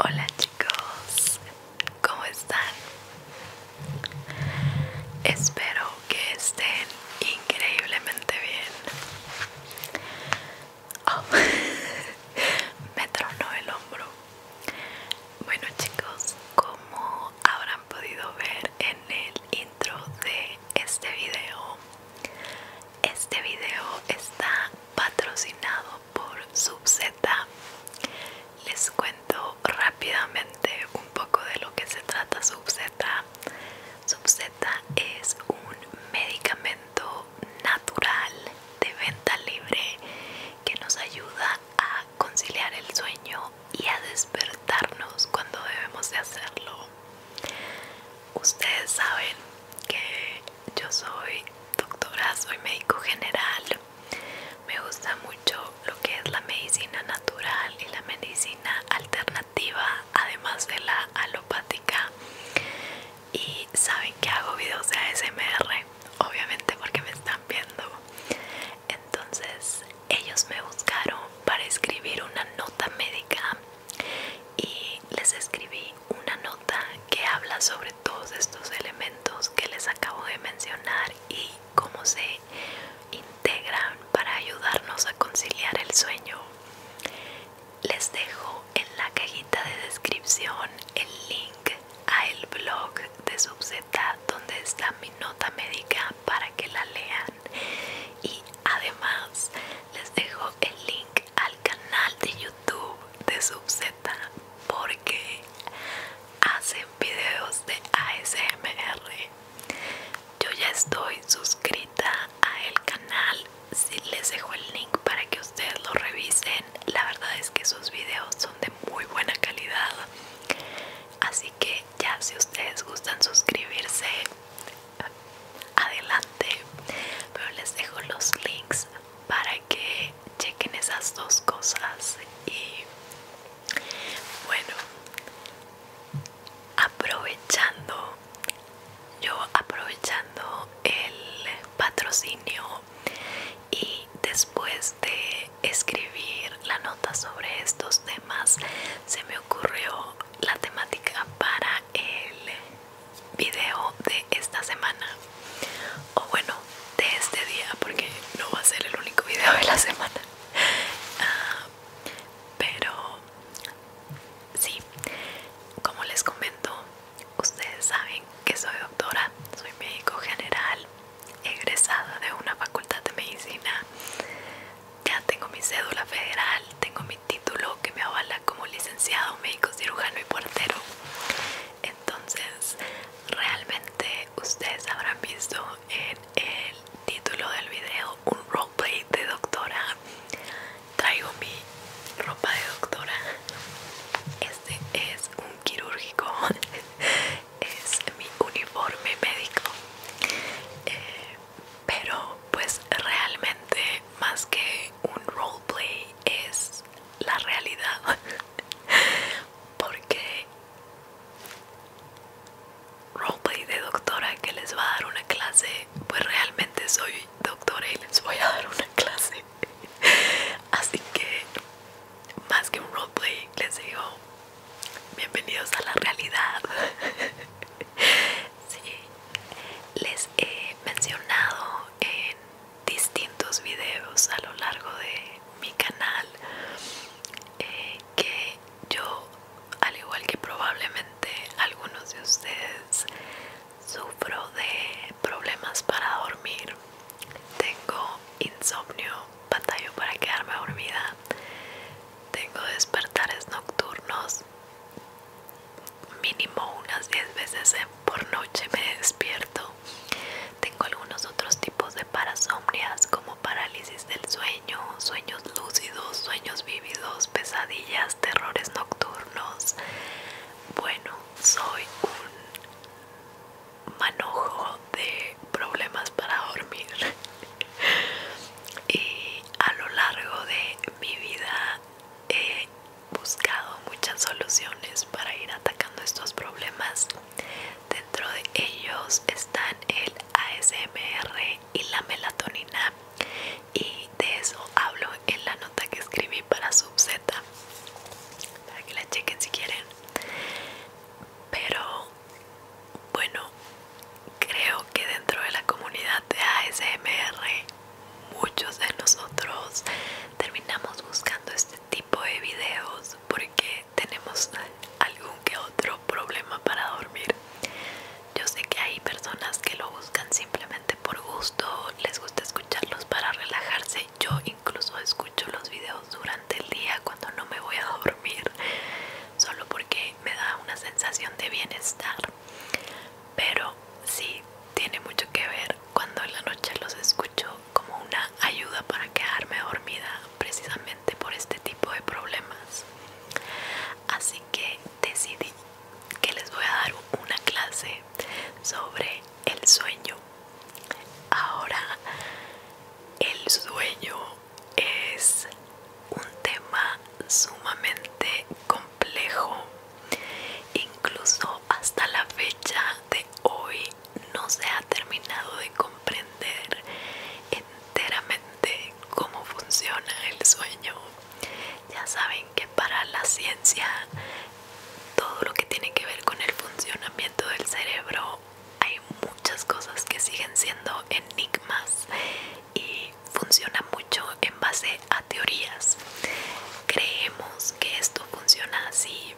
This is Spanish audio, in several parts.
Hola chicos, ¿cómo están? Espero que estén increíblemente bien. Oh. me tronó el hombro bueno chicos como habrán podido ver en el intro de este video este video está patrocinado por subz les cuento rápidamente un poco de lo que se trata subz Subzeta es un medicamento natural de venta libre que nos ayuda a conciliar el sueño y a despertarnos cuando debemos de hacerlo. Ustedes saben que yo soy doctora, soy médico general. Me gusta mucho lo que es la medicina natural y la medicina alternativa además de la alopática y saben que hago videos de ASMR obviamente porque me están viendo entonces ellos me buscaron para escribir una nota médica y les escribí una nota que habla sobre todos estos elementos que les acabo de mencionar y cómo se integran para ayudarnos a conciliar el sueño les dejo en la cajita de descripción el link al el blog de Subzeta donde está mi nota médica para que la lean y además les dejo el link al canal de YouTube de Subzeta porque hacen videos de ASMR yo ya estoy suscrita a el canal les dejo el link para que ustedes lo revisen la verdad es que sus videos son de muy buena calidad así que ya si ustedes gustan suscribirse adelante pero les dejo los links para que chequen esas dos cosas y bueno aprovechando yo aprovechando el patrocinio y después de escribir la nota sobre estos temas se me ocurrió la temática para el video de esta semana o bueno de este día porque no va a ser el único video de la semana ah, pero sí, como les comento, ustedes saben que soy doctora, soy médico general, egresada de una facultad de medicina. Ya tengo mi cédula federal, tengo mi título que me avala como licenciado médico cirujano y portero. Entonces, realmente ustedes habrán visto en el título del video un roleplay de doctora traigo mi ropa de doctora este es un quirúrgico es mi uniforme médico eh, pero pues realmente más que un roleplay es la realidad porque roleplay de doctora que les va a dar una clase pues realmente soy doctora y les voy a dar una clase. Así que, más que un roleplay, les digo bienvenidos a la realidad. Sí, les he mencionado en distintos videos a lo largo de mi canal eh, que yo, al igual que probablemente algunos de ustedes, Sufro de problemas para dormir. Tengo insomnio, batallo para quedarme dormida. Tengo despertares nocturnos. Mínimo unas 10 veces por noche me despierto. Tengo algunos otros tipos de parasomnias como parálisis del sueño, sueños lúcidos, sueños vivos pesadillas, terrores nocturnos. Bueno, soy un manojo de problemas para dormir. y a lo largo de mi vida he buscado muchas soluciones para ir atacando estos problemas. Dentro de ellos están el ASMR y la melatonina y de eso hablo en la nota que escribí para subz para que la chequen si quieren pero bueno creo que dentro de la comunidad de ASMR muchos de nosotros terminamos buscando este tipo de videos porque tenemos algún que otro problema para dormir yo sé que hay personas que lo buscan simplemente por gusto, les gusta escucharlos para relajarse. Yo incluso escucho los videos durante el día cuando no me voy a dormir, solo porque me da una sensación de bienestar. Pero sí, tiene mucho que ver cuando en la noche los escucho como una ayuda para quedarme dormida precisamente por este tipo de problemas. Así que decidí que les voy a dar una clase sobre el sueño. Ahora, el sueño es un tema sumamente complejo. Incluso hasta la fecha de hoy no se ha terminado de comprender enteramente cómo funciona el sueño. Ya saben que para la ciencia todo lo que tiene que ver con el funcionamiento del cerebro hay muchas cosas que siguen siendo enigmas y funciona mucho en base a teorías. Creemos que esto funciona así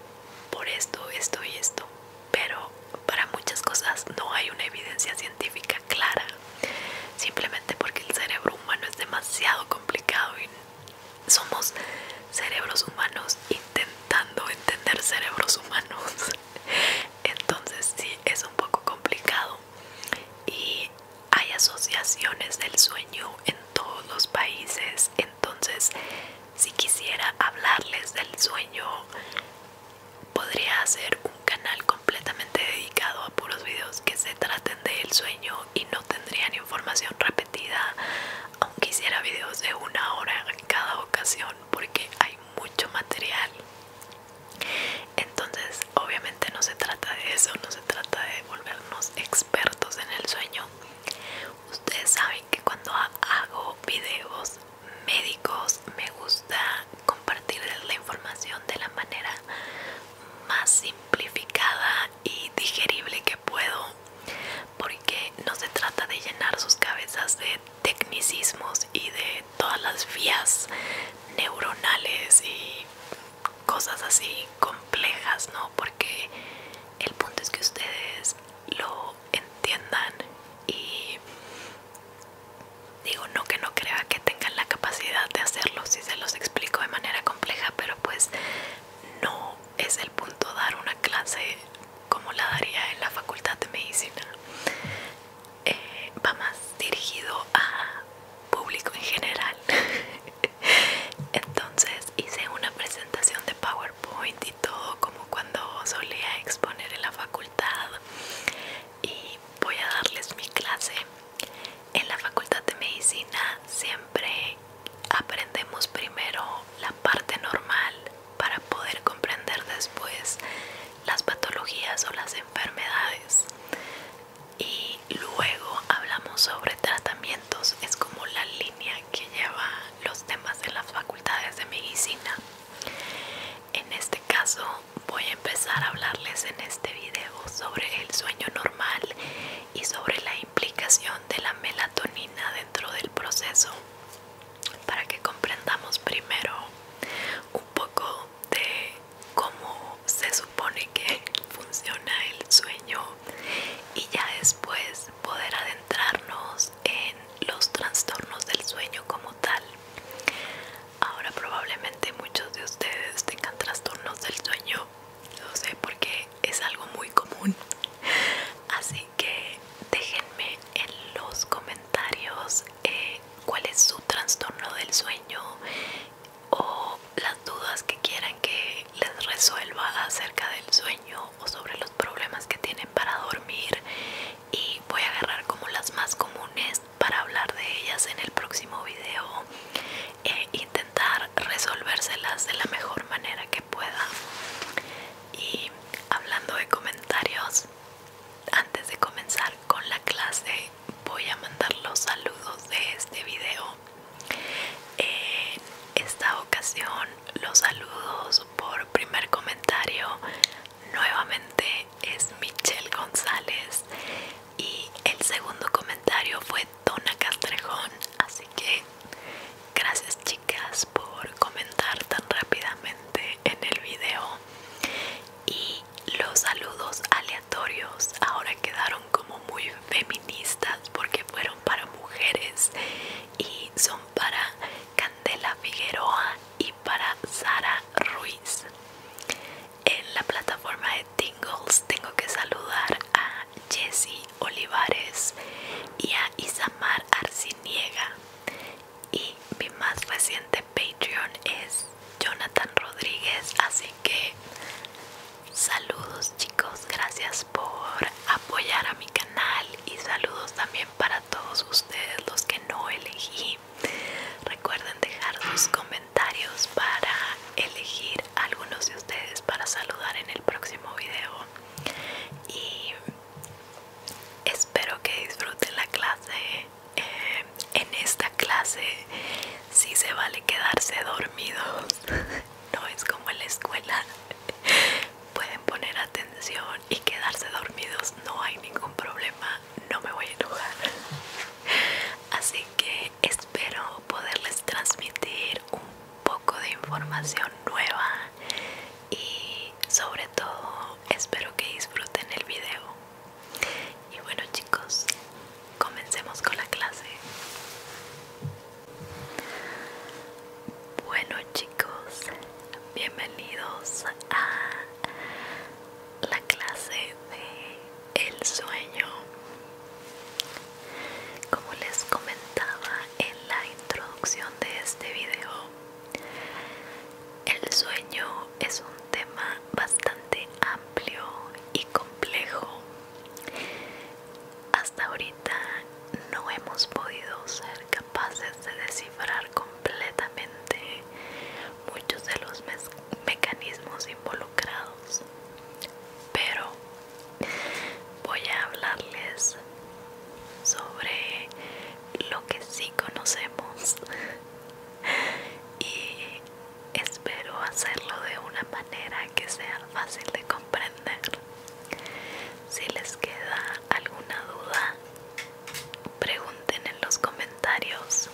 por esto, esto y esto, pero para muchas cosas no hay una evidencia científica clara simplemente porque el cerebro humano es demasiado complicado y somos cerebros humanos intentando entender cerebros humanos entonces sí es un poco complicado y hay asociaciones del sueño en todos los países entonces si quisiera hablarles del sueño podría hacer un canal completamente dedicado por puros videos que se traten del sueño y no tendrían información repetida aunque hiciera vídeos de una hora en cada ocasión porque hay mucho material entonces obviamente no se trata de eso no se trata de volvernos expertos en el sueño ustedes saben que cuando hago vídeos médicos me gusta compartirles la información de la manera más simplificada y digerible que puedo porque no se trata de llenar sus cabezas de tecnicismos y de todas las vías neuronales y cosas así complejas, ¿no? Porque el punto es que ustedes lo entiendan y digo no que no crea que tengan la capacidad de hacerlo, se los explico de manera compleja, pero pues no es el punto dar una clase como la daría en la facultad de medicina. Eh, va más dirigido a público en general. Entonces hice una presentación de PowerPoint y todo como cuando solía exponer en la facultad y voy a darles mi clase en la facultad de medicina siempre aprendemos primero la parte normal para poder comprender después las patologías o las enfermedades y luego hablamos sobre tratamientos es como la línea que lleva los temas de las facultades de medicina en este caso voy a empezar a hablarles en este video sobre el sueño normal y sobre la implicación de la melatonina dentro del proceso para que comprendamos primero un poco de cómo se supone que funciona el sueño y ya después poder adentrarnos en los trastornos del sueño como tal. Ahora probablemente muchos de ustedes tengan trastornos del sueño lo sé porque es algo muy común así que déjenme en los comentarios eh, cuál es su trastorno del sueño o las dudas que quieran que les resuelva acerca del sueño o sobre los problemas que tienen para dormir y voy a agarrar como las más comunes para hablar de ellas en el próximo video eh, intentar resolvérselas de la mejor manera que pueda. Y hablando de comentarios, antes de comenzar con la clase voy a mandar los saludos de este video. En esta ocasión los saludos por primer comentario nuevamente es Michelle González y el segundo comentario fue Donna Castrejón. Así que gracias chicas por comentar tan rápidamente en el video. Y los saludos aleatorios ahora quedaron como muy feministas porque fueron para mujeres y son para Candela Figueroa y para Sara Ruiz en la plataforma de Tingles tengo que saludar a Jesse Olivares y a Isamar Arciniega y mi más reciente Patreon es Jonathan Rodríguez así que saludos chicos gracias por apoyar a mi canal y saludos también para todos ustedes los que no elegí recuerden dejar sus comentarios para elegir algunos de ustedes para saludar en el próximo video y espero que disfruten la clase eh, en esta clase si se vale quedarse dormidos no es como en la escuela pueden poner atención y quedarse dormidos no hay ningún problema no me voy a enojar así que este espero poderles transmitir un poco de información nueva y sobre todo espero que disfruten el video y bueno chicos comencemos con la clase bueno chicos bienvenidos a la clase de el sueño. Como les comentaba en la introducción de este video, el sueño es un tema bastante amplio y complejo. Hasta ahorita no hemos podido ser capaces de descifrar completamente muchos de los mecanismos involucrados, pero voy a hablarles sobre lo que sí conocemos y espero hacerlo de una manera que sea fácil de comprender si les queda alguna duda pregunten en los comentarios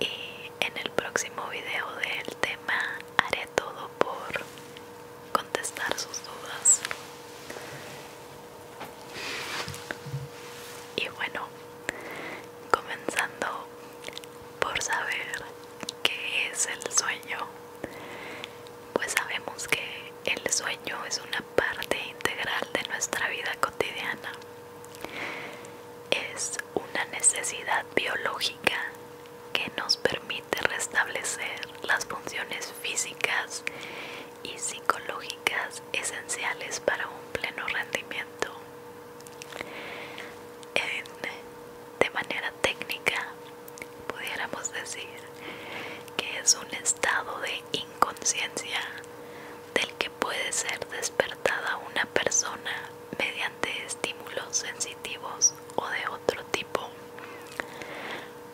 y en el próximo video del tema haré todo por contestar sus dudas. Y bueno, comenzando por saber qué es el sueño, pues sabemos que el sueño es una parte integral de nuestra vida cotidiana. Es una necesidad biológica que nos permite restablecer las funciones físicas y psicológicas esenciales para un pleno rendimiento. de manera técnica, pudiéramos decir que es un estado de inconsciencia del que puede ser despertada una persona mediante estímulos sensitivos o de otro tipo.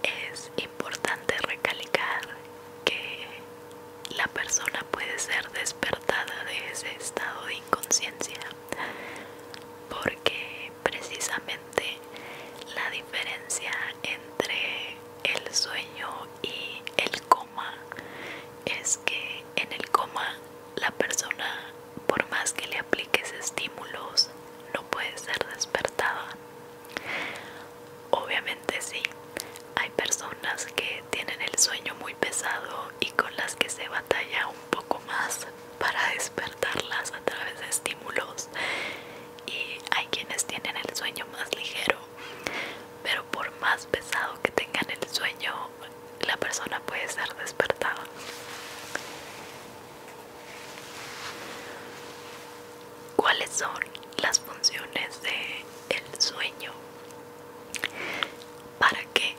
Es importante recalcar que la persona puede ser despertada de ese estado de inconsciencia porque precisamente la diferencia entre el sueño y el coma es que en el coma la persona por más que le apliques estímulos, no puede ser despertada. Obviamente sí, hay personas que tienen el sueño muy pesado y con las que se batalla un poco más para despertarlas a través de estímulos y hay quienes tienen el sueño más ligero, pero por más pesado que tengan el sueño, la persona puede ser despertada. ¿Cuáles son las funciones del sueño? ¿Para qué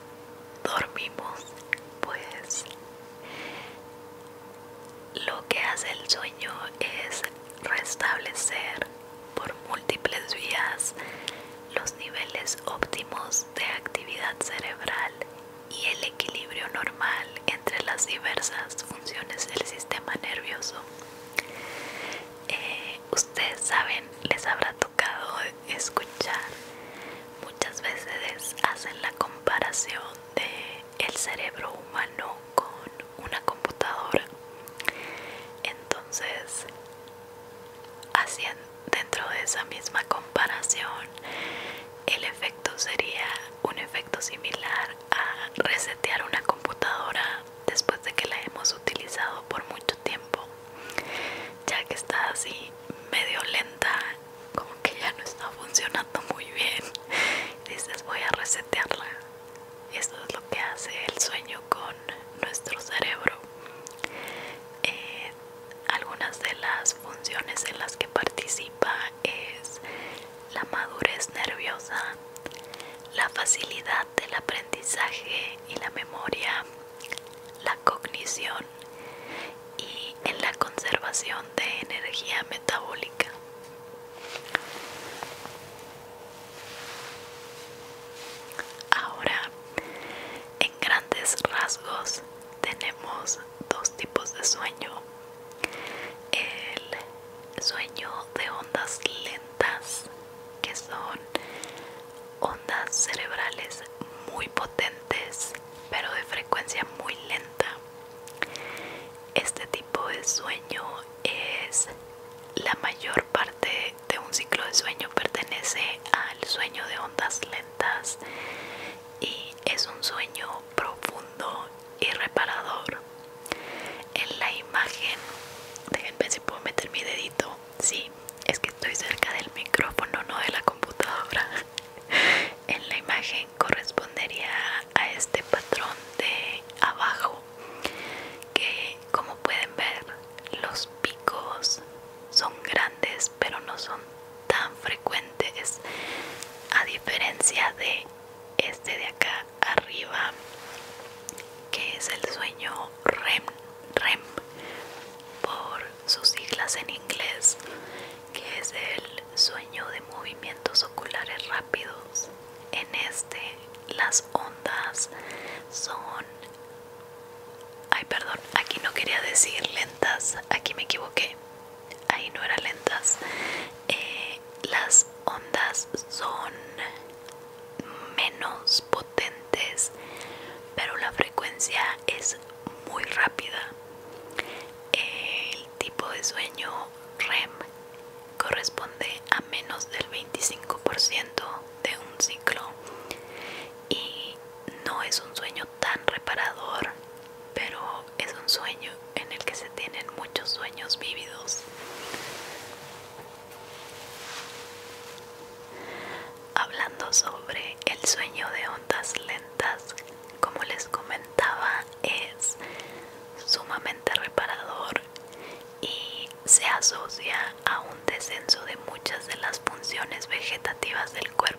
dormimos? Pues lo que hace el sueño es restablecer por múltiples vías los niveles óptimos de actividad cerebral y el equilibrio normal entre las diversas funciones del sistema nervioso. Eh, ustedes saben, les habrá tocado escuchar muchas veces hacen la comparación de el cerebro humano con una computadora. Entonces, haciendo dentro de esa misma comparación, el efecto sería un efecto similar a resetear una computadora después de que la hemos utilizado por mucho tiempo, ya que está así medio lenta, como que ya no está funcionando muy bien. Dices, voy a resetearla. Esto es lo que hace el sueño con nuestro cerebro. Eh, algunas de las funciones en las que participa es la madurez nerviosa, la facilidad del aprendizaje y la memoria, la cognición y en la conservación de energía metabólica. Ahora, en grandes rasgos tenemos dos tipos de sueño. El sueño de ondas lentas, que son ondas cerebrales muy potentes, pero de frecuencia muy lenta. Este tipo de sueño es la mayor parte de un ciclo de sueño pertenece al sueño de ondas lentas y es un sueño profundo y reparador. En la imagen, déjenme si puedo meter mi dedito. Sí, es que estoy cerca del micrófono, no de la computadora. en la imagen correspondería a este patrón de abajo, que como pueden ver, los picos son grandes pero no son tan frecuentes a diferencia de este de acá arriba que es el sueño REM, REM por sus siglas en inglés que es el sueño de movimientos oculares rápidos en este las ondas son Ay, perdón, aquí no quería decir lentas, aquí me equivoqué. Ahí no era lentas. Eh, las ondas son menos potentes, pero la frecuencia es muy rápida. El tipo de sueño REM corresponde a menos del 25% de un ciclo y no es un sueño tan reparador pero es un sueño en el que se tienen muchos sueños vívidos. Hablando sobre el sueño de ondas lentas, como les comentaba, es sumamente reparador y se asocia a un descenso de muchas de las funciones vegetativas del cuerpo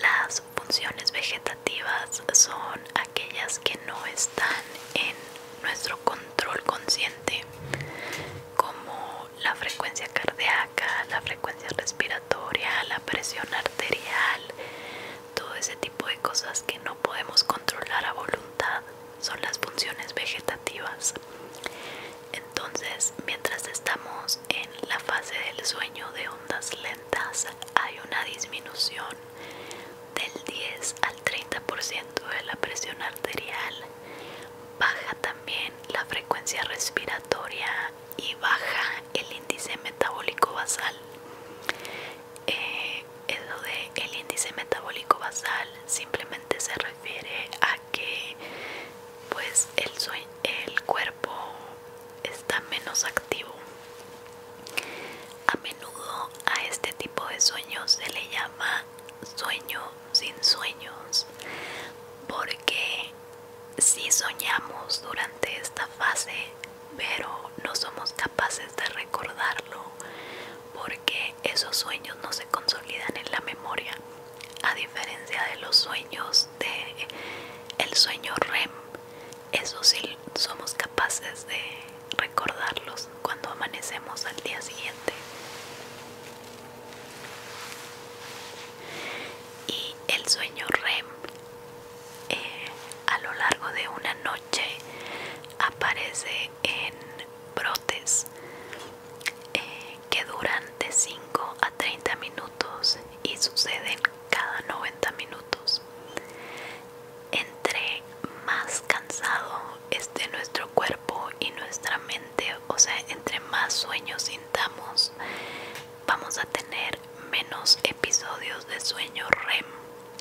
las funciones vegetativas son aquellas que no están en nuestro control consciente, como la frecuencia cardíaca, la frecuencia respiratoria, la presión arterial, todo ese tipo de cosas que no podemos controlar a voluntad son las funciones vegetativas. Entonces, mientras estamos en la fase del sueño de ondas lentas hay una disminución del 10 al 30% de la presión arterial, baja también la frecuencia respiratoria y baja el índice metabólico basal. Eh, el índice metabólico basal simplemente se refiere a que pues el, sueño, el cuerpo está menos activo. A menudo a este tipo de sueños se le llama sueño sin sueños porque si soñamos durante esta fase pero no somos capaces de recordarlo porque esos sueños no se consolidan en la memoria a diferencia de los sueños de el sueño REM eso sí somos capaces de recordarlos cuando amanecemos al día siguiente y el sueño REM eh, a lo largo de una noche aparece en brotes eh, que duran de 5 a 30 minutos y suceden cada 90 minutos. Entre más cansado esté nuestro cuerpo y nuestra mente, o sea, entre más sueños sintamos, vamos a tener menos episodios de sueño REM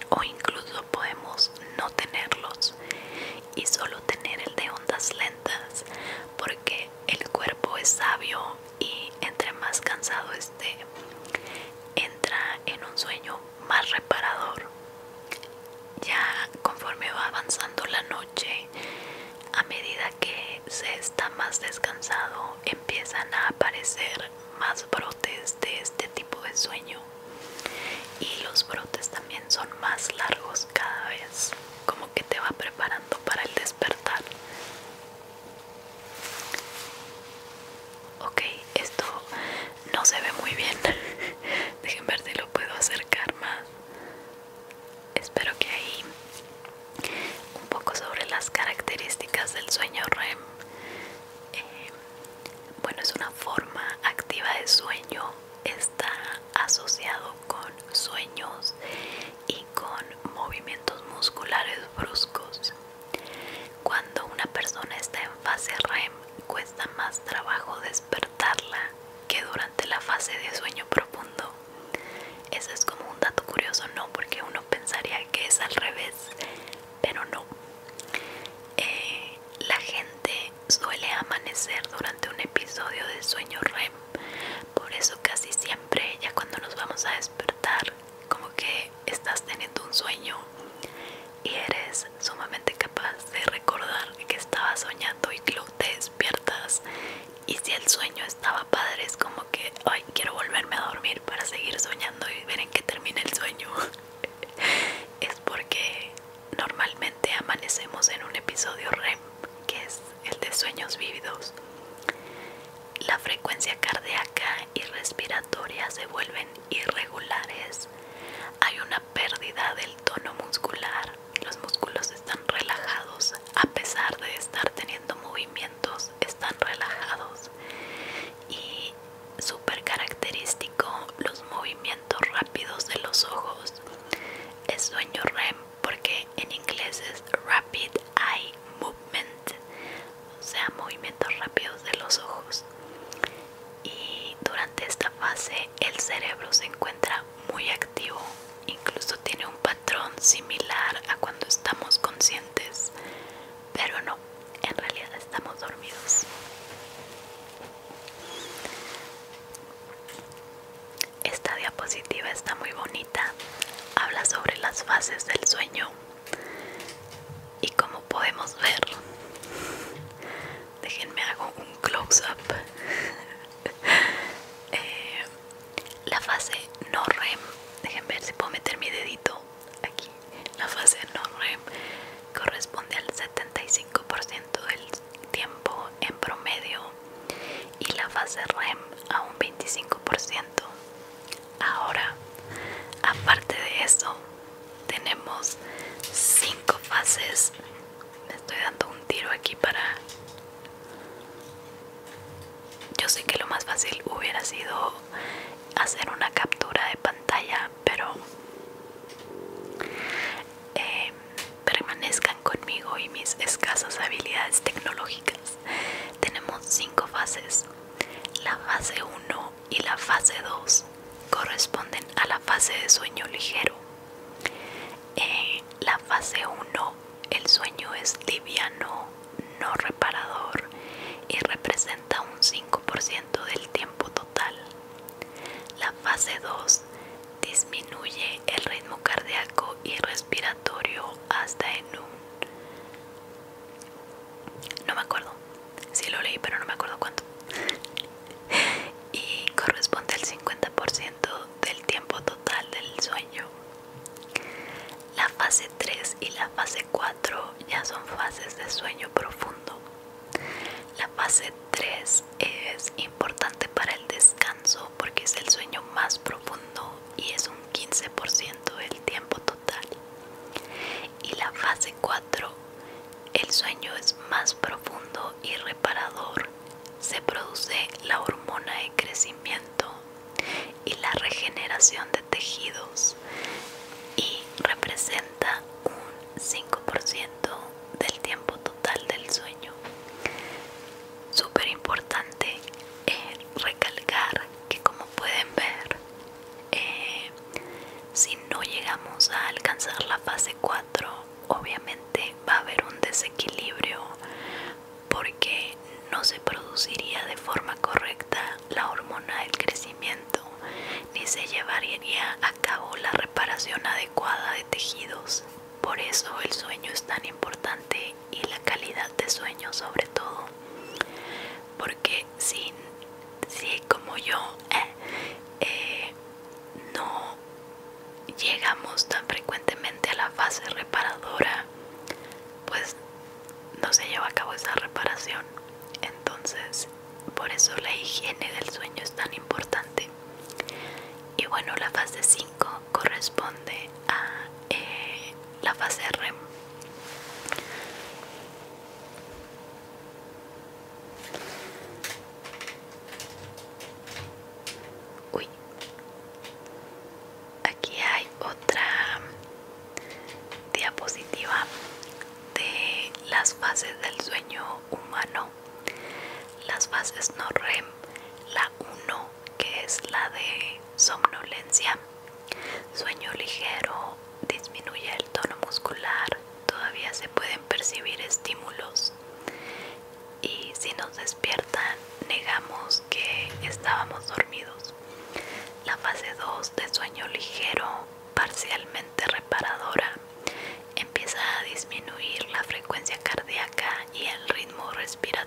o incluso podemos no tenerlos y solo tener el de ondas lentas porque el cuerpo es sabio y entre más cansado esté, entra en un sueño más reparador. Ya conforme va avanzando la noche, a medida que se está más descansado, empiezan a aparecer más brotes de este tipo de sueño. Y los brotes también son más largos cada vez, como que te va preparando para el despertar. Ok, esto no se ve muy bien. déjenme ver si lo puedo acercar más. Espero que ahí un poco sobre las características del sueño REM. Eh, bueno, es una forma activa de sueño. Está asociado con sueños y con movimientos musculares bruscos. Cuando una persona está en fase REM, cuesta más trabajo despertarla que durante la fase de sueño profundo. Eso es como un dato curioso, ¿no? Porque uno pensaría que es al revés, pero no. Eh, la gente suele amanecer durante un episodio de sueño REM por eso casi siempre ya cuando nos vamos a despertar, como que estás teniendo un sueño y eres sumamente capaz de recordar que estabas soñando y luego te despiertas. Y si el sueño estaba padre, es como que, ay, quiero volverme a dormir para seguir soñando y ver en qué termina el sueño. es porque normalmente amanecemos en un episodio REM, que es el de sueños vívidos. La frecuencia cardíaca y respiratoria se vuelven irregulares. Hay una pérdida del tono muscular. Los músculos están relajados a pesar de estar teniendo movimientos, están relajados. Y súper característico los movimientos rápidos de los ojos. El sueño REM porque en inglés es rapid eye movement, o sea, movimientos rápidos de los ojos. Y durante esta fase el cerebro se encuentra muy activo, incluso tiene un patrón similar a cuando estamos conscientes, pero no, en realidad estamos dormidos. Esta diapositiva está muy bonita habla sobre las fases del sueño y como podemos ver, déjenme hago un close-up. Eh, la fase no REM, déjenme ver si puedo meter mi dedito aquí. La fase no REM corresponde al 75% del tiempo en promedio y la fase REM a un 25%. Ahora, aparte de eso, tenemos cinco fases. Me estoy dando un tiro aquí para... Yo sé que lo más fácil hubiera sido hacer una captura de pantalla, pero eh, permanezcan conmigo y mis escasas habilidades tecnológicas. Tenemos cinco fases. La fase 1 y la fase 2 corresponden a la fase de sueño ligero. En la fase 1 el sueño es liviano, no reparador y representa un 5% del tiempo total. La fase 2 disminuye el ritmo cardíaco y respiratorio hasta en un no me acuerdo. Sí lo leí, pero no me acuerdo cuánto. y corresponde al 50% del tiempo total del sueño. La fase 3 y la fase 4 ya son fases de sueño profundo. La fase 3 es importante para el descanso porque es el sueño más profundo y es un 15% del tiempo total. Y la fase 4, el sueño es más profundo y reparador. Se produce la hormona de crecimiento y la regeneración de tejidos y representa un 5% del tiempo total del sueño. Súper importante recalcar que como pueden ver eh, si no llegamos a alcanzar la fase 4 obviamente va a haber un desequilibrio porque no se produciría de forma correcta la hormona del crecimiento ni se llevaría a cabo la reparación adecuada de tejidos por eso el sueño es tan importante y la calidad de sueño sobre todo porque si, si como yo eh, eh, no llegamos tan frecuentemente a la fase reparadora pues no se lleva a cabo esa reparación entonces por eso la higiene del sueño es tan importante y bueno la fase 5 corresponde a eh, la fase REM. Uy, aquí hay otra diapositiva de las fases del sueño humano. Las fases no REM, la 1 que es la de somnolencia sueño ligero disminuye el tono muscular todavía se pueden percibir estímulos y si nos despiertan negamos que estábamos dormidos la fase 2 de sueño ligero parcialmente reparadora empieza a disminuir la frecuencia cardíaca y el ritmo respiratorio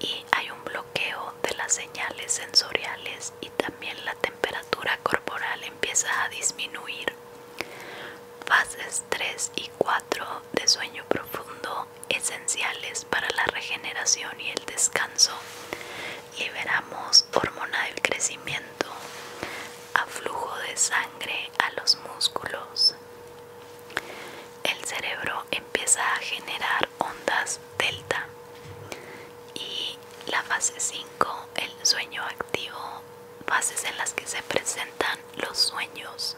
y hay un bloqueo de las señales sensoriales y también la temperatura corporal empieza a disminuir. Fases 3 y 4 de sueño profundo esenciales para la regeneración y el descanso. Liberamos hormona del crecimiento, aflujo de sangre a los músculos. El cerebro empieza a generar ondas delta. Y la fase 5, el sueño activo, fases en las que se presentan los sueños.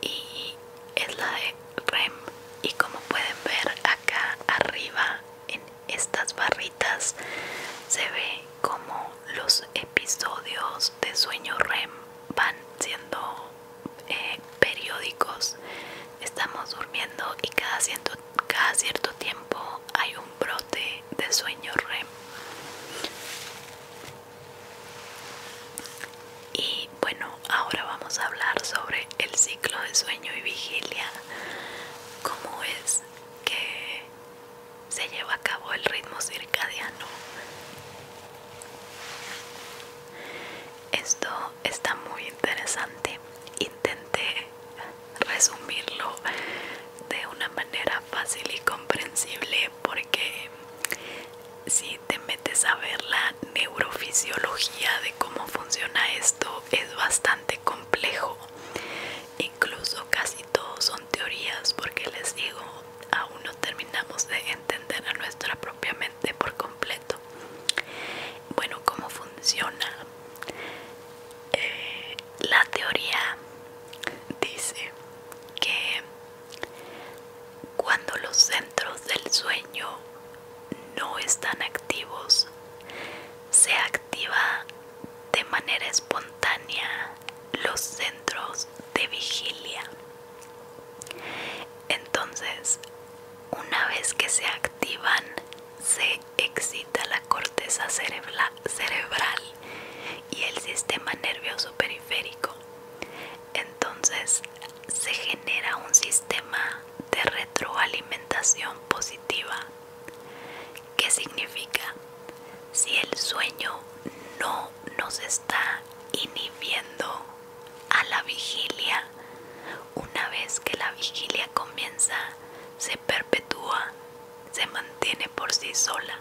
Y es la de REM. Y como pueden ver acá arriba en estas barritas se ve como los episodios de sueño REM van siendo eh, periódicos estamos durmiendo y cada cierto, cada cierto tiempo hay un brote de sueño REM y bueno ahora vamos a hablar sobre el ciclo de sueño y vigilia cómo es que se lleva a cabo el ritmo circadiano esto está muy interesante. Intenté resumirlo de una manera fácil y comprensible porque si te metes a ver la neurofisiología de cómo funciona esto es bastante complejo. Incluso casi todos son teorías porque les digo, aún no terminamos de entender a nuestra propia mente de por completo bueno cómo funciona eh, la teoría dice que cuando los centros del sueño no están activos se activa de manera espontánea los centros de vigilia entonces, una vez que se activan, se excita la corteza cerebral y el sistema nervioso periférico. Entonces, se genera un sistema de retroalimentación positiva. ¿Qué significa? Si el sueño no nos está inhibiendo a la vigilia. Una vez que la vigilia comienza, se perpetúa, se mantiene por sí sola.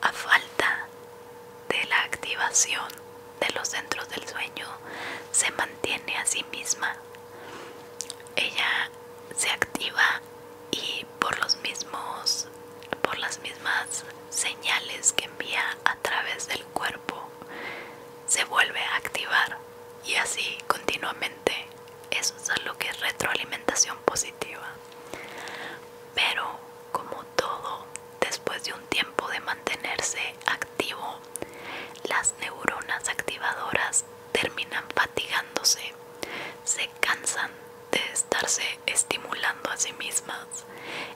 A falta de la activación de los centros del sueño, se mantiene a sí misma. Ella se activa y por los mismos por las mismas señales que envía a través del cuerpo se vuelve a activar y así continuamente. Eso es lo que es retroalimentación positiva. Pero como todo, después de un tiempo de mantenerse activo, las neuronas activadoras terminan fatigándose, se cansan de estarse estimulando a sí mismas.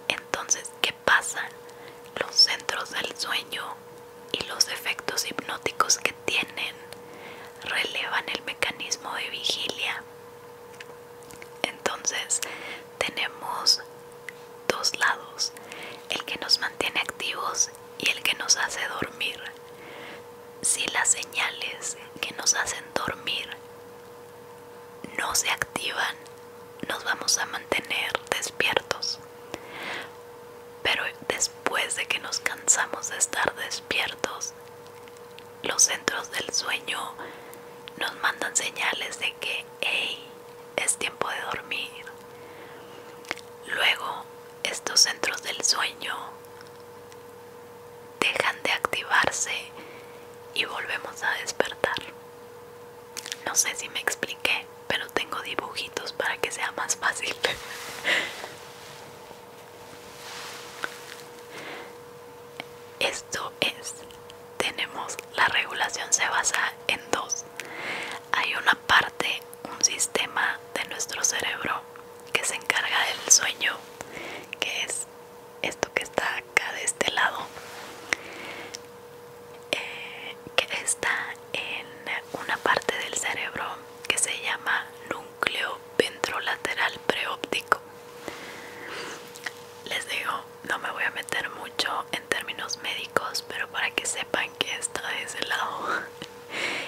Entonces, ¿qué pasan los centros del sueño y los efectos hipnóticos que tienen relevan el mecanismo de vigilia. Entonces tenemos dos lados, el que nos mantiene activos y el que nos hace dormir. Si las señales que nos hacen dormir no se activan, nos vamos a mantener despiertos. Pero después de que nos cansamos de estar despiertos, los centros del sueño nos mandan señales de que, es tiempo de dormir. Luego, estos centros del sueño dejan de activarse y volvemos a despertar. No sé si me expliqué, pero tengo dibujitos para que sea más fácil. Esto es, tenemos, la regulación se basa en dos. Hay una parte, un sistema de nuestro cerebro que se encarga del sueño, que es esto que está acá de este lado eh, que está en una parte del cerebro que se llama núcleo ventrolateral preóptico les digo no me voy a meter mucho en términos médicos pero para que sepan que está de ese lado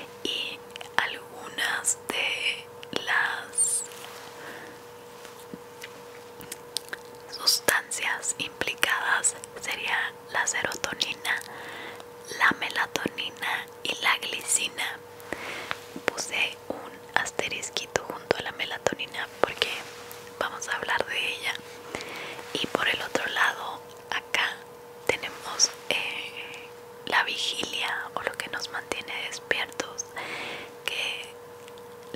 y algunas de las Sustancias implicadas serían la serotonina, la melatonina y la glicina. Puse un asterisquito junto a la melatonina porque vamos a hablar de ella. Y por el otro lado, acá tenemos eh, la vigilia o lo que nos mantiene despiertos, que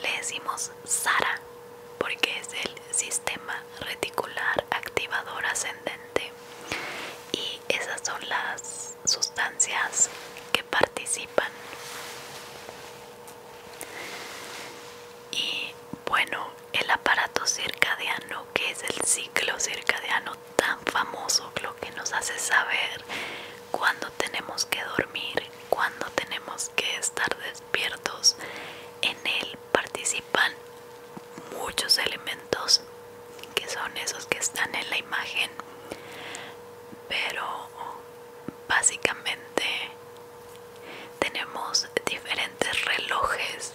le decimos Sara porque es el sistema reticular activador ascendente y esas son las sustancias que participan y bueno el aparato circadiano que es el ciclo circadiano tan famoso lo que nos hace saber cuándo tenemos que dormir cuándo tenemos que estar en él participan muchos elementos que son esos que están en la imagen, pero básicamente tenemos diferentes relojes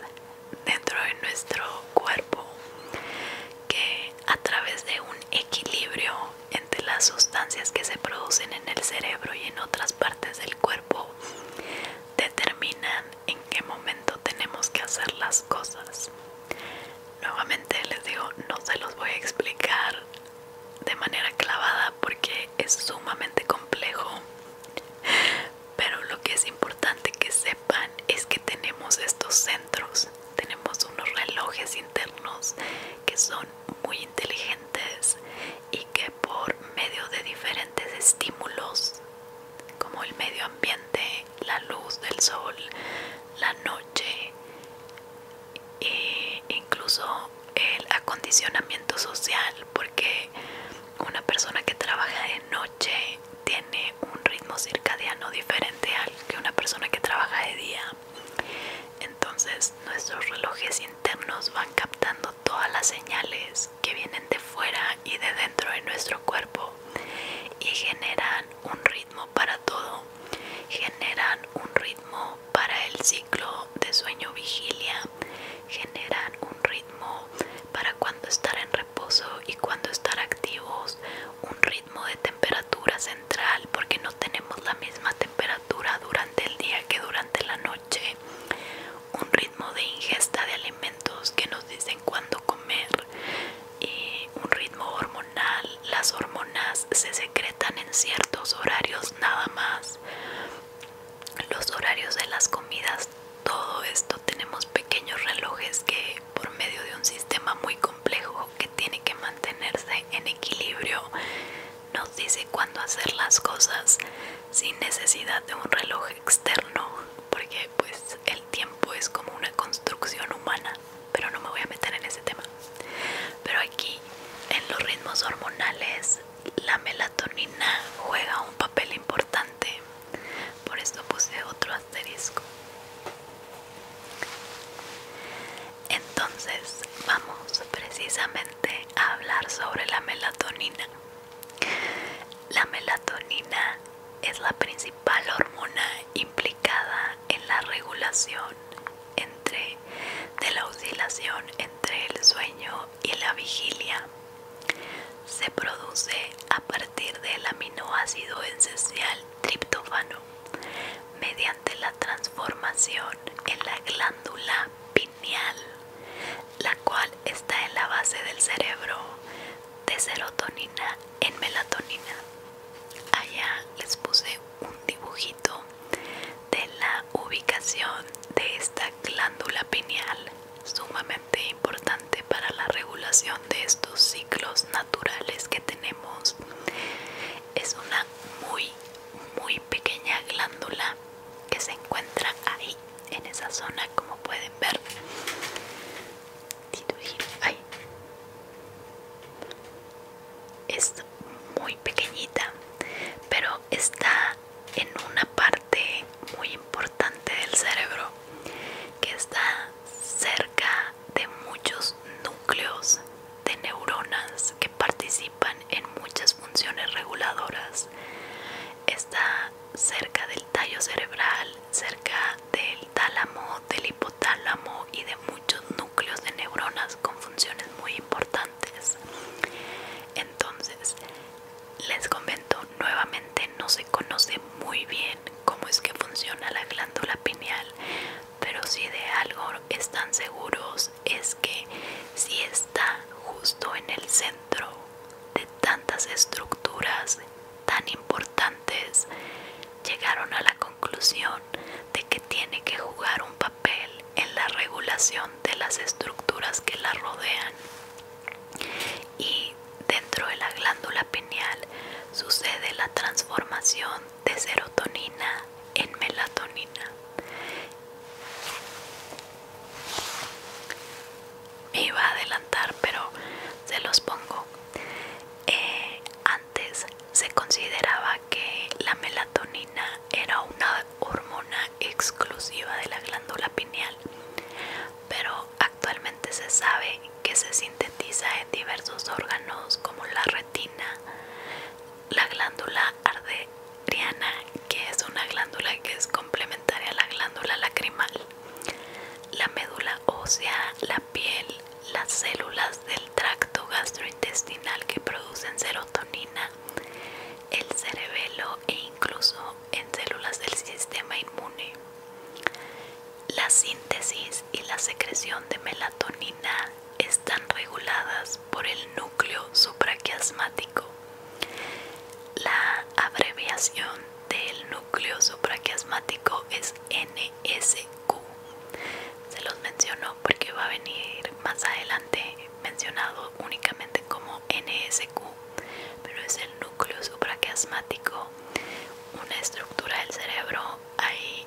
dentro de nuestro cuerpo que a través de un equilibrio las sustancias que se producen en el cerebro y en otras partes del cuerpo determinan en qué momento tenemos que hacer las cosas. Nuevamente les digo, no se los voy a explicar de manera clavada porque es sumamente complejo, pero lo que es importante que sepan es que tenemos estos centros, tenemos unos relojes internos que son muy inteligentes y que por medio de diferentes estímulos como el medio ambiente, la luz del sol, la noche e incluso el acondicionamiento social porque una persona que trabaja de noche tiene un ritmo circadiano diferente al que una persona que trabaja de día entonces nuestros relojes internos van captando todas las señales que vienen de fuera y de dentro de nuestro cuerpo y generan un ritmo para todo. Generan un ritmo para el ciclo de sueño vigilia. Generan un ritmo para cuando estar en reposo y cuando estar activos. Un ritmo de temperatura central porque no tenemos la misma temperatura durante el día que durante la noche un ritmo de ingesta de alimentos que nos dicen cuándo comer, y un ritmo hormonal, las hormonas se secretan en ciertos horarios nada más, los horarios de las comidas, todo esto tenemos pequeños relojes que por medio de un sistema muy complejo que tiene que mantenerse en equilibrio nos dice cuándo hacer las cosas sin necesidad de un reloj externo, porque pues el tiempo es como una construcción humana, pero no me voy a meter en ese tema. Pero aquí, en los ritmos hormonales, la melatonina juega un papel importante. Por esto puse otro asterisco. Entonces, vamos precisamente a hablar sobre la melatonina. La melatonina es la principal hormona implicada en la regulación entre, de la oscilación entre el sueño y la vigilia. Se produce a partir del aminoácido esencial triptófano mediante la transformación en la glándula la cual está en la base del cerebro de serotonina en melatonina. Allá les puse un dibujito de la ubicación de esta glándula pineal, sumamente importante para la regulación de estos ciclos naturales que tenemos. Es una muy, muy pequeña glándula que se encuentra ahí en esa zona como pueden ver es muy pequeñita pero está en una parte muy importante del cerebro que está cerca de muchos núcleos de neuronas que participan en muchas funciones reguladoras Está cerca del tallo cerebral, cerca del tálamo, del hipotálamo y de muchos núcleos de neuronas con funciones muy importantes. Entonces, les comento nuevamente, no se conoce muy bien cómo es que funciona la glándula pineal, pero si de algo están seguros es que si está justo en el centro de tantas estructuras tan importantes, llegaron a la conclusión de que tiene que jugar un papel en la regulación de las estructuras que la rodean. Y dentro de la glándula pineal sucede la transformación de serotonina en melatonina me iba a adelantar pero se los pongo eh, antes se consideraba que la melatonina era una hormona exclusiva de la glándula pineal pero actualmente se sabe que se sintetiza en diversos órganos como la retina la glándula arteriana, que es una glándula que es complementaria a la glándula lacrimal, la médula ósea, la piel, las células del tracto gastrointestinal que producen serotonina, el cerebelo e incluso en células del sistema inmune. La síntesis y la secreción de melatonina están reguladas por el núcleo supraquiasmático la abreviación del núcleo supraquiasmático es NSQ. Se los menciono porque va a venir más adelante mencionado únicamente como NSQ, pero es el núcleo supraquiasmático, una estructura del cerebro. Ahí,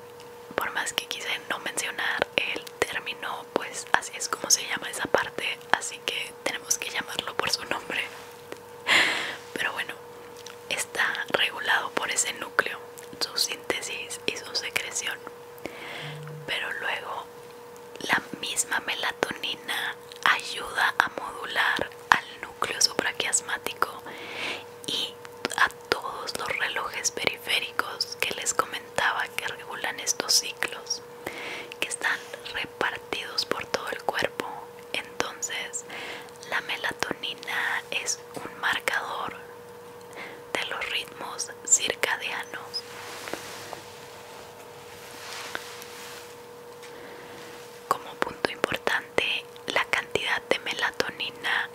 por más que quise no mencionar el término pues así es como se llama esa parte, así que tenemos que llamarlo por su nombre. Pero bueno, está regulado por ese núcleo, su síntesis y su secreción. Pero luego la misma melatonina ayuda a modular al núcleo supraquiasmático y a todos los relojes periféricos que les comenté que regulan estos ciclos que están repartidos por todo el cuerpo. Entonces, la melatonina es un marcador de los ritmos circadianos. Como punto importante, la cantidad de melatonina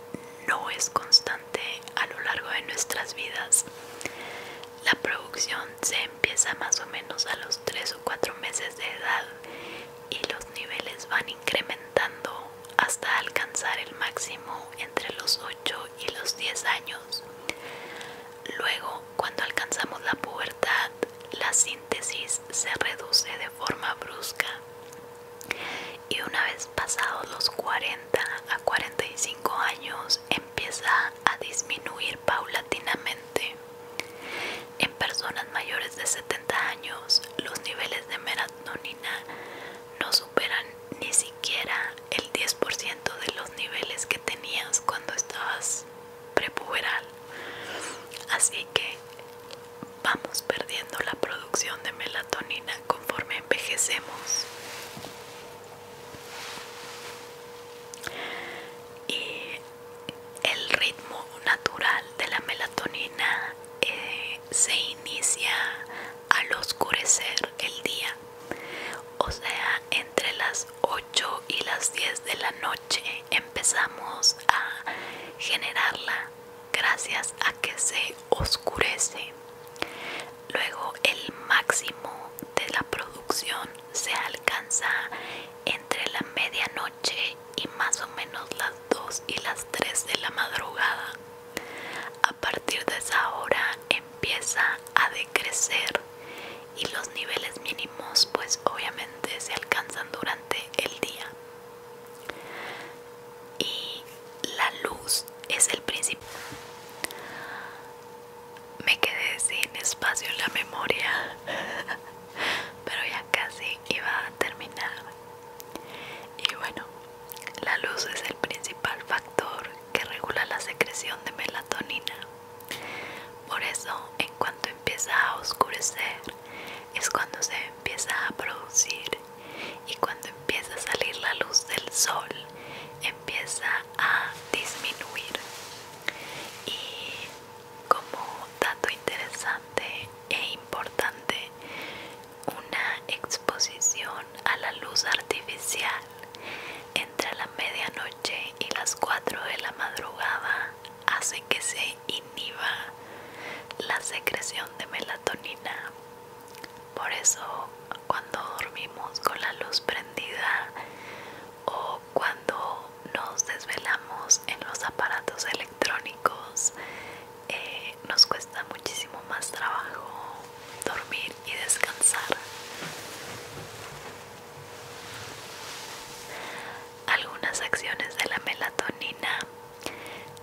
no es constante a lo largo de nuestras vidas. La producción se empieza más o menos a los 3 o 4 meses de edad y los niveles van incrementando hasta alcanzar el máximo entre los 8 y los 10 años. Luego, cuando alcanzamos la pubertad, la síntesis se reduce de forma brusca y una vez pasados los 40 a 45 años empieza a disminuir paulatinamente. En personas mayores de 70 años, los niveles de melatonina no superan ni siquiera el 10% de los niveles que tenías cuando estabas prepuberal. Así que vamos perdiendo la producción de melatonina conforme envejecemos y el ritmo natural de la melatonina eh, se inicia al oscurecer el día o sea entre las 8 y las 10 de la noche empezamos a generarla gracias a que se oscurece luego el máximo de la producción se alcanza entre la medianoche y más o menos las 2 y las 3 de la madrugada. A partir de esa hora empieza a decrecer y los niveles mínimos pues obviamente se alcanzan durante el día. Y la luz es el principal me quedé sin espacio en la memoria pero ya casi iba a terminar y bueno la luz es el principal factor que regula la secreción de melatonina por eso en cuanto empieza a oscurecer es cuando se empieza a producir y cuando empieza a salir la luz del sol empieza a disminuir y como dato interesante e importante, una exposición a la luz artificial entre la medianoche y las 4 de la madrugada hace que se inhiba la secreción de melatonina. Por eso, cuando dormimos con la luz prendida o cuando nos desvelamos en los aparatos electrónicos eh, nos cuesta muchísimo más trabajo dormir y descansar. Algunas acciones de la melatonina,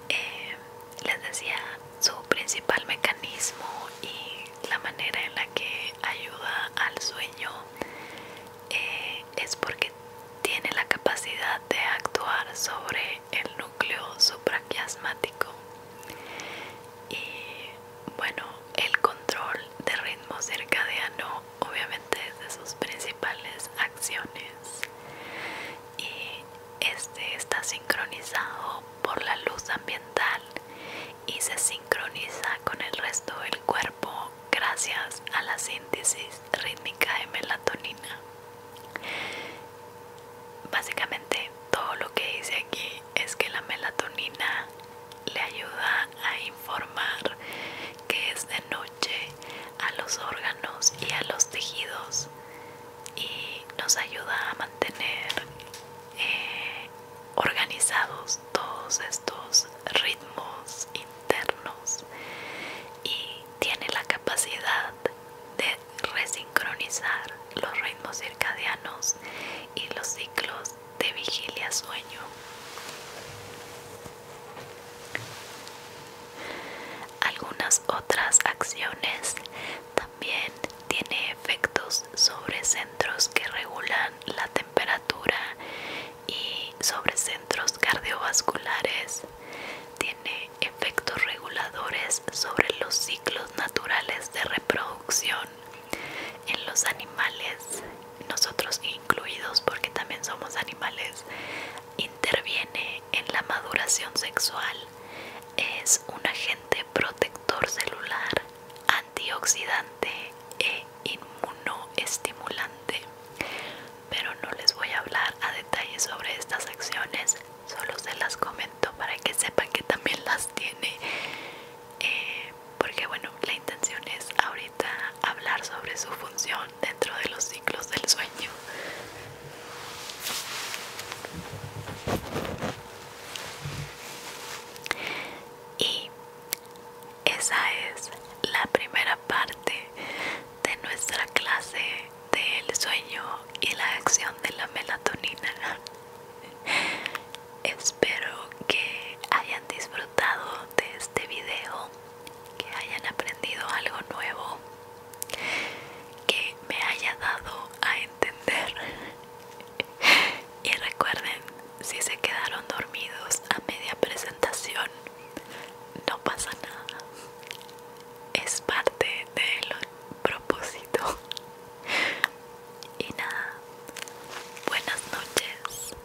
eh, les decía, su principal mecanismo y la manera en la que ayuda al sueño eh, es porque tiene la capacidad de actuar sobre el núcleo supraquiasmático y bueno el control de ritmo circadiano obviamente es de sus principales acciones y este está sincronizado por la luz ambiental y se sincroniza con el resto del cuerpo gracias a la síntesis rítmica de melatonina. Básicamente todo lo que dice aquí es que la melatonina le ayuda a informar que es de noche a los órganos y a los tejidos y nos ayuda a mantener eh, organizados todos estos ritmos internos y tiene la capacidad de resincronizar los ritmos circadianos y los ciclos de vigilia sueño. Algunas otras acciones también tiene efectos sobre centros que regulan la temperatura y sobre centros cardiovasculares. Tiene efectos reguladores sobre los ciclos naturales de reproducción en los animales, nosotros incluidos porque también somos animales. Interviene en la maduración sexual. Es un agente protector celular antioxidante e inmunoestimulante. Pero no les voy a hablar a detalle sobre estas acciones, solo se las comento para que sepan que también las tiene. Eh, porque bueno, la intención es ahorita hablar sobre su función dentro de los ciclos del sueño. Y esa es la primera parte de nuestra clase del sueño y la acción de la melatonina. Espero que hayan disfrutado de este video, que hayan aprendido algo nuevo, que me haya dado a entender y recuerden, si se quedaron dormidos a media presentación, no pasa nada. Es parte del propósito. Y nada, buenas noches.